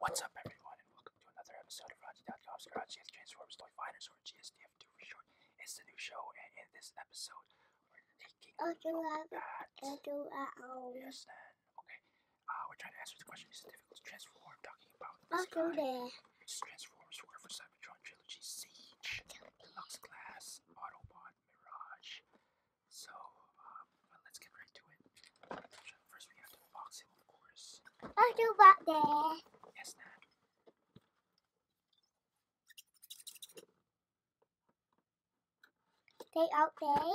What's up, everyone, and welcome to another episode of Raji.com's Garage Chase Transformers Toy Finders, or GSTF2 for short. It's the new show, and in this episode, we're taking a look uh, at uh, um, yes, then okay. Uh, we're trying to answer the question: Is it difficult to transform? Talking about this guy, which transforms for for seven Trilogy Siege, Glass, Autobot, Mirage. So, um, let's get right to it. First, we have to box him, of course. Autobot there. Yes, Nat. They out there.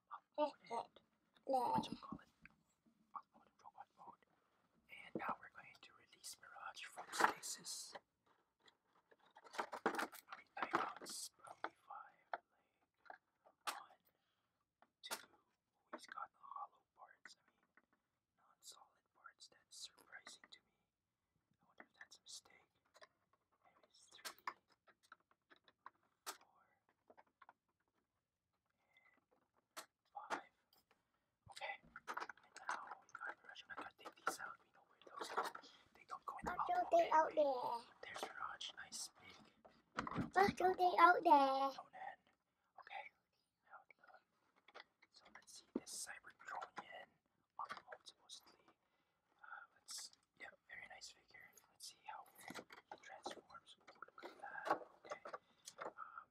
It's good. What's it called? Upload robot mode. And now we're going to release Mirage from stasis. We time out probably got hollow parts. I mean, non-solid parts. That's surprising to me. I wonder if that's a mistake. Anyways, three, four, five. Okay, now Raj. I gotta take these out. We know where those go. They don't go in the I'll throw them out there. There's Raj, nice big. I'll throw them out there. Conan. Okay, So let's see this cyber drone in. Mostly let's, yeah, very nice figure. Let's see how it transforms. Okay. Um,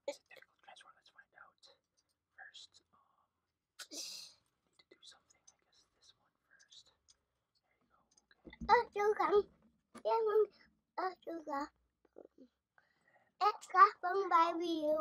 it's a difficult transform. Let's first. Um, need to do something. I this one first. There you go. Okay. It's got from by you.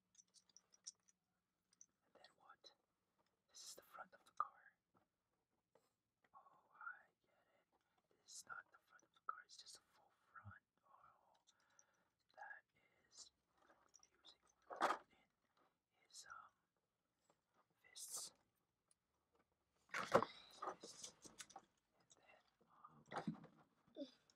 And then what? This is the front of the car. Oh, I get it. This is not the front of the car, it's just a full front. Oh, that is using in his um fists. His fists. And then um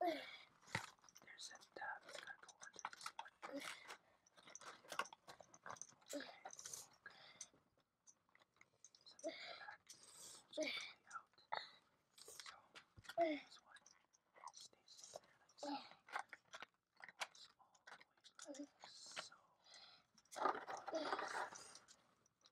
There's that tab. It's gotta go under this one. Okay. Okay. So back. out. So this one stays in there like so. Goes all the way like so.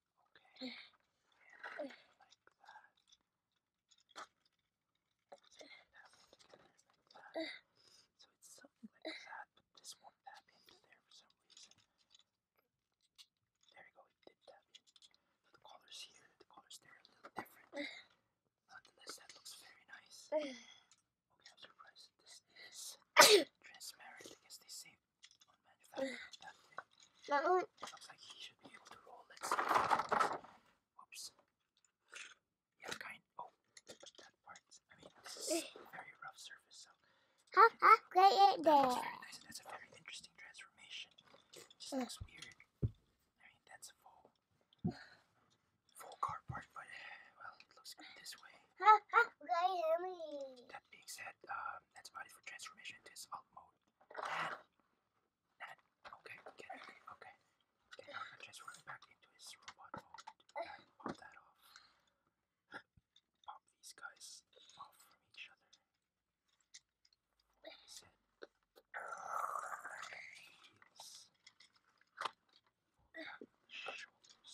Okay. So it's something like that, but this won't tap into there for some reason. There we go, it did tap in. the colors here, the colors there a little different. Nonetheless, that looks very nice. Okay, I'm surprised this is transparent. I they saved on manufacturing oh, that eh. there. That's a very interesting transformation. just eh. looks weird. I mean, full, full car part, but eh, well, looks good this way. Ha ha! Great That being said, um, that's about for transformation. This alt mode. Dad! Dad! Okay, get it. Okay. Get Dr. Chess right back into his robot mode. Dad, pop that off. Pop these guys off from each other. He said. Heels. Shoulders.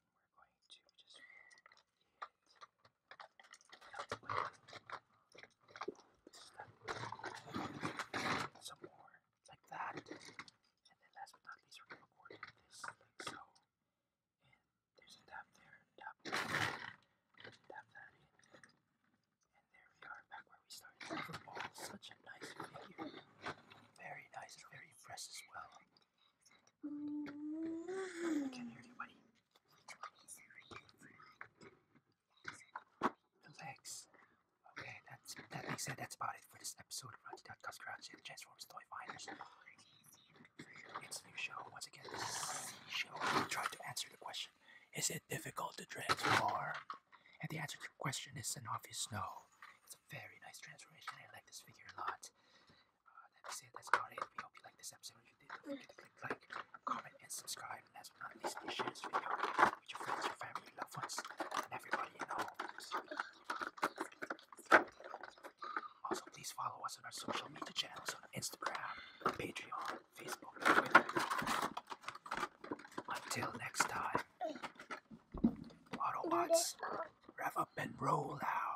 we're going to just it some more like that. And then last but not least we're gonna record this like so. And there's a tap there, tap tap that in. And there we are back where we started. Overall, such a nice figure. Very nice, very fresh as well. Come Okay, that's that makes sense. That's about it for this episode of Ratty.Cuz Crouch and Transformers Toy Finders. It's a new show. Once again, this is a show. We try to answer the question Is it difficult to transform? And the answer to the question is an obvious no very nice transformation. I like this figure a lot. Uh, that's it. That's about We hope you like this episode. If you did, do click like, comment, and subscribe. And last but please share this video with your friends, your family, your loved ones, and everybody you know. Also, please follow us on our social media channels on Instagram, Patreon, Facebook, Until next time, Autobots. Rev up and roll out.